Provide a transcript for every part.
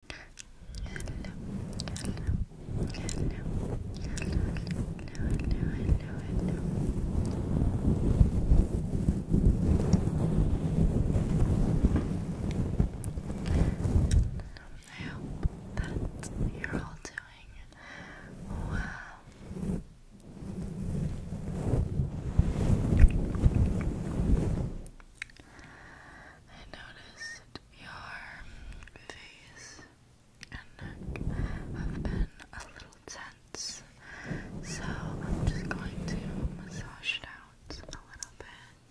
Hello. Hello. Hello. Hello. are all doing well. I I noticed your face and neck have been a little tense, so I'm just going to massage it out a little bit.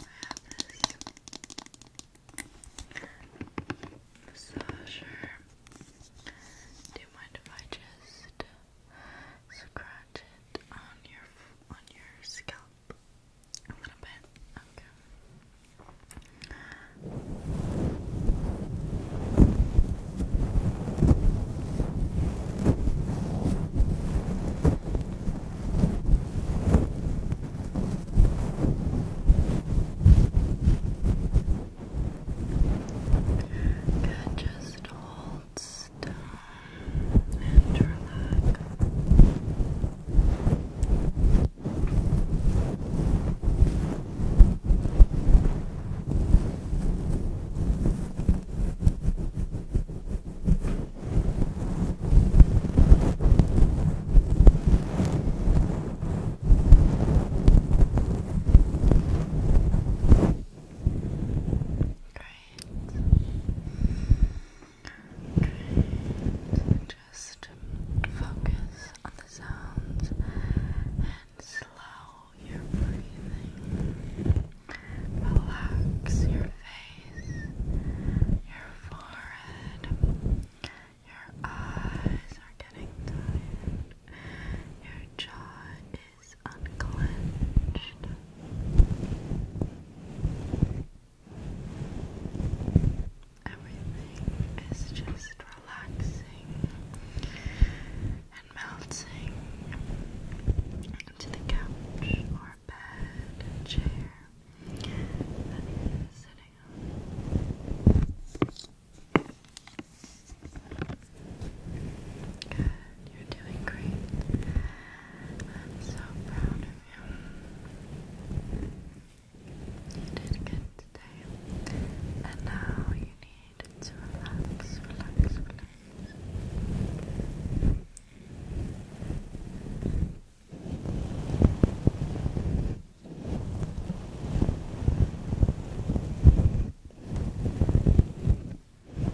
I have this massager. Do you mind if I just scratch it on your on your scalp? a little bit. Okay. Good, just hold and relax. Okay, just focus on the sounds and slow your breathing. Relax your face, your forehead, your eyes are getting tired, your jaw is is unclenched. Everything is just relaxing and melting into the couch or bed and chair that you're sitting on. You're doing great. I'm so proud of you. You did good today. And now you need to relax, relax, relax. Great,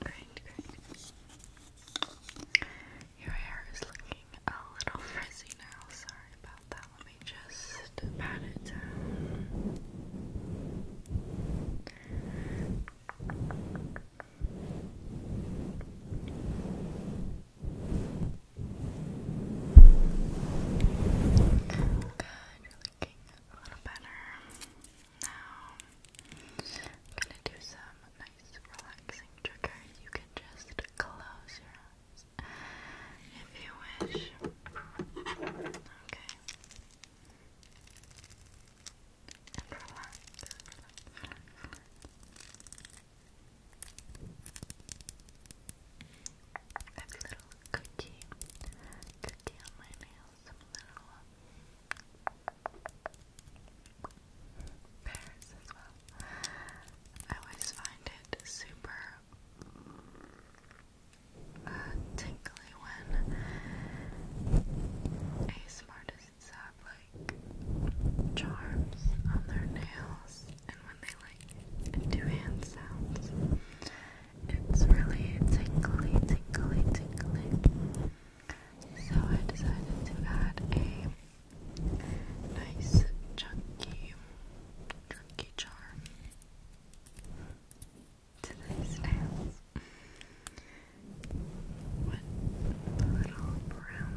great, great. Your hair is looking a little frizzy now. Sorry about that. Let me just pat it down you're looking a little better. Now, I'm gonna do some nice relaxing triggers. You can just close your eyes if you wish. Okay. relax. I a little cookie, cookie on my nails, some little uh, pears as well. I always find it super uh, tingly when ASMR doesn't like charms on their nails, in when they like do hand sounds. It's really tingly, tingly, tingly. So I decided to add a nice chunky, chunky charm to these nails with little brown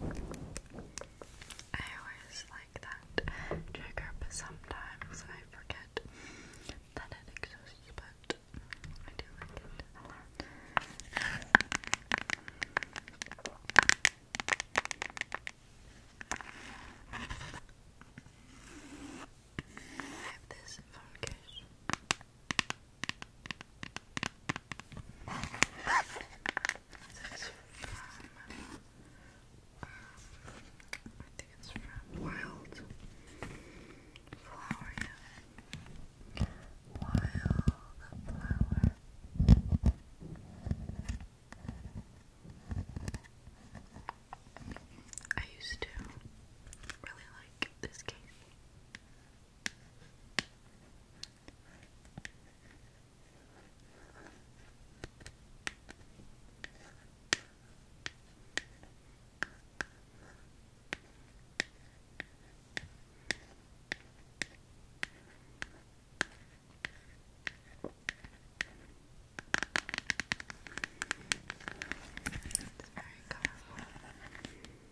I always like that trigger, but sometimes I forget that it exists, but I do like it I have this phone case. This is I think it's from Wild Flower, Wild Flower. I used to really like this case. It's very colorful.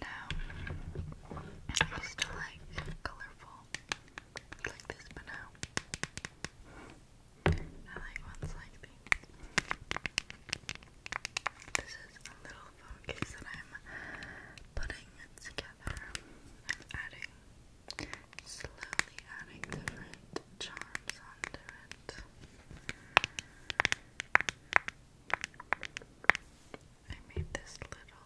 Now, I used to like colorful like this, but now I like ones like these. This is a little focus that I'm putting together together. I'm adding, slowly adding different charms onto it. I made this little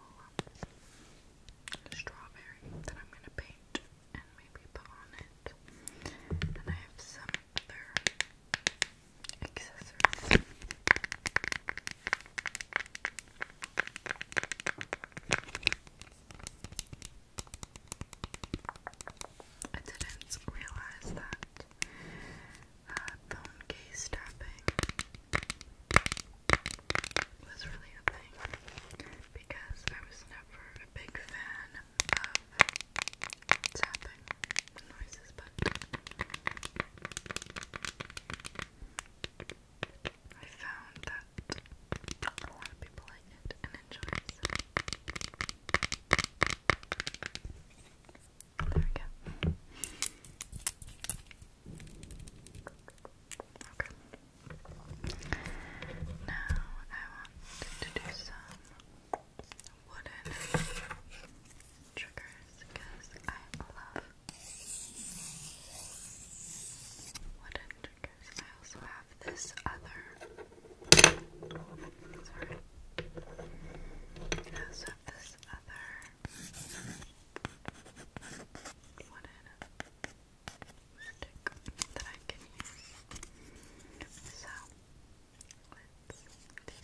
strawberry that I'm going to paint and maybe put on it. And I have some other accessories. I didn't realize that uh, phone case tapping was really a thing because I was never a big fan of tapping noises, I found that a lot of people like it and enjoy it. There we go. Okay. Now I want to do some wooden triggers because I love wooden triggers. I also have this other. Sorry. I also have this other wooden stick that I can use. So let's do that.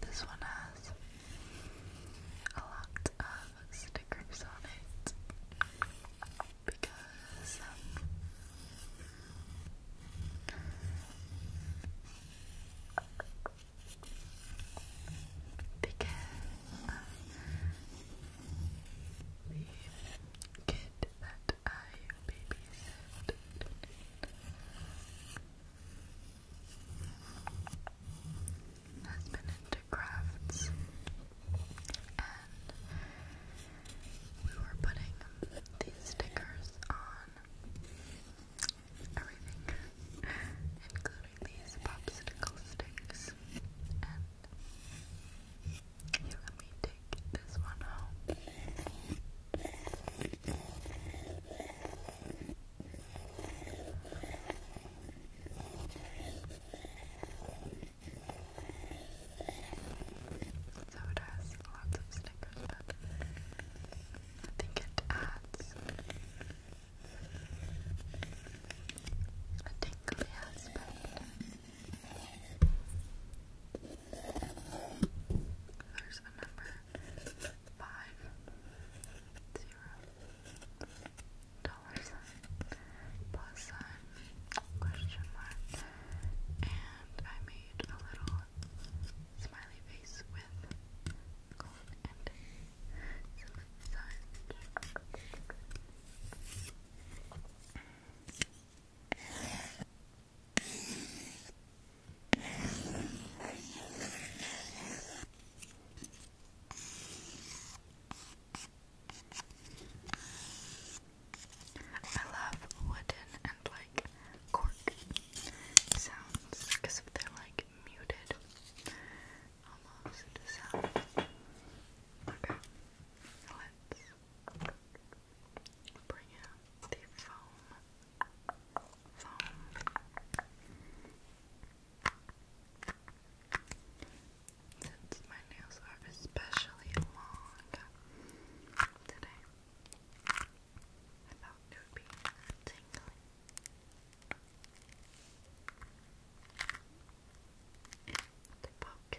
This one has a lot stickers on it because um, because uh, um, the that I babysit has been into crafts, and we were putting these stickers on everything, including these popsicle sticks, and here, let me take this one home. So it has lots of stickers, I think it adds a tingly aspect. There's the number five dollar sign, plus sign, question mark, and I made a little smiley face with gold and some I love wooden and like cork sounds because if they're like muted almost sound. Okay, let's bring out the foam. Foam. Since my nails are especially long today, I thought it would be tingly. The poke.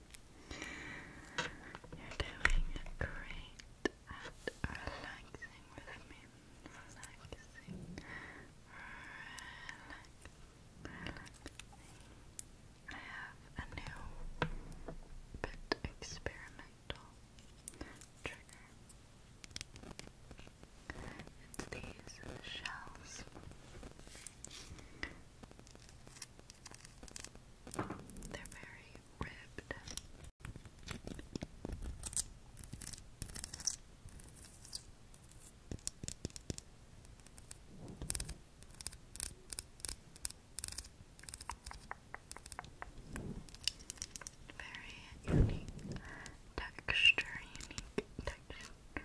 You're doing great at relaxing with me. Relaxing. Relaxing. I have a new bit experimental trigger. It's these shells. They're very ribbed. Very unique texture, unique texture.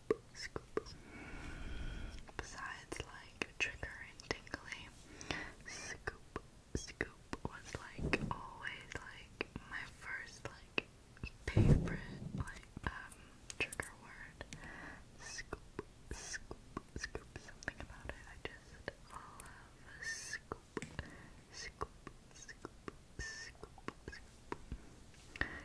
scoop, scoop. Besides like trigger and tingly, scoop, scoop was like always like my first like favorite like um trigger word. Scoop, scoop, scoop. Something about it. I just love scoop, scoop, scoop, scoop, scoop.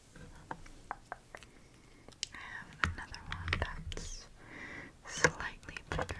I have another one that's slightly bigger.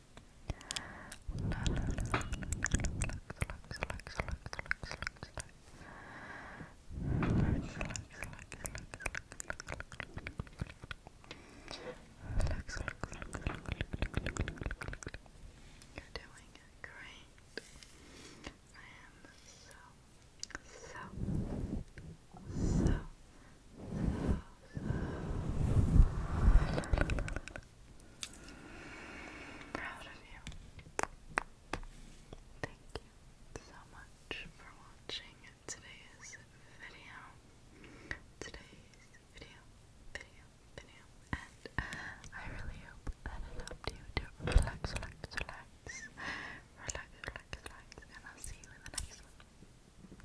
You're doing great. I am so, so, so proud of you. Thank you so much for watching today's video. Today's video, video, video. And I really hope that it helped relax, relax, relax. Relax, relax, relax. And I'll see you in the next one.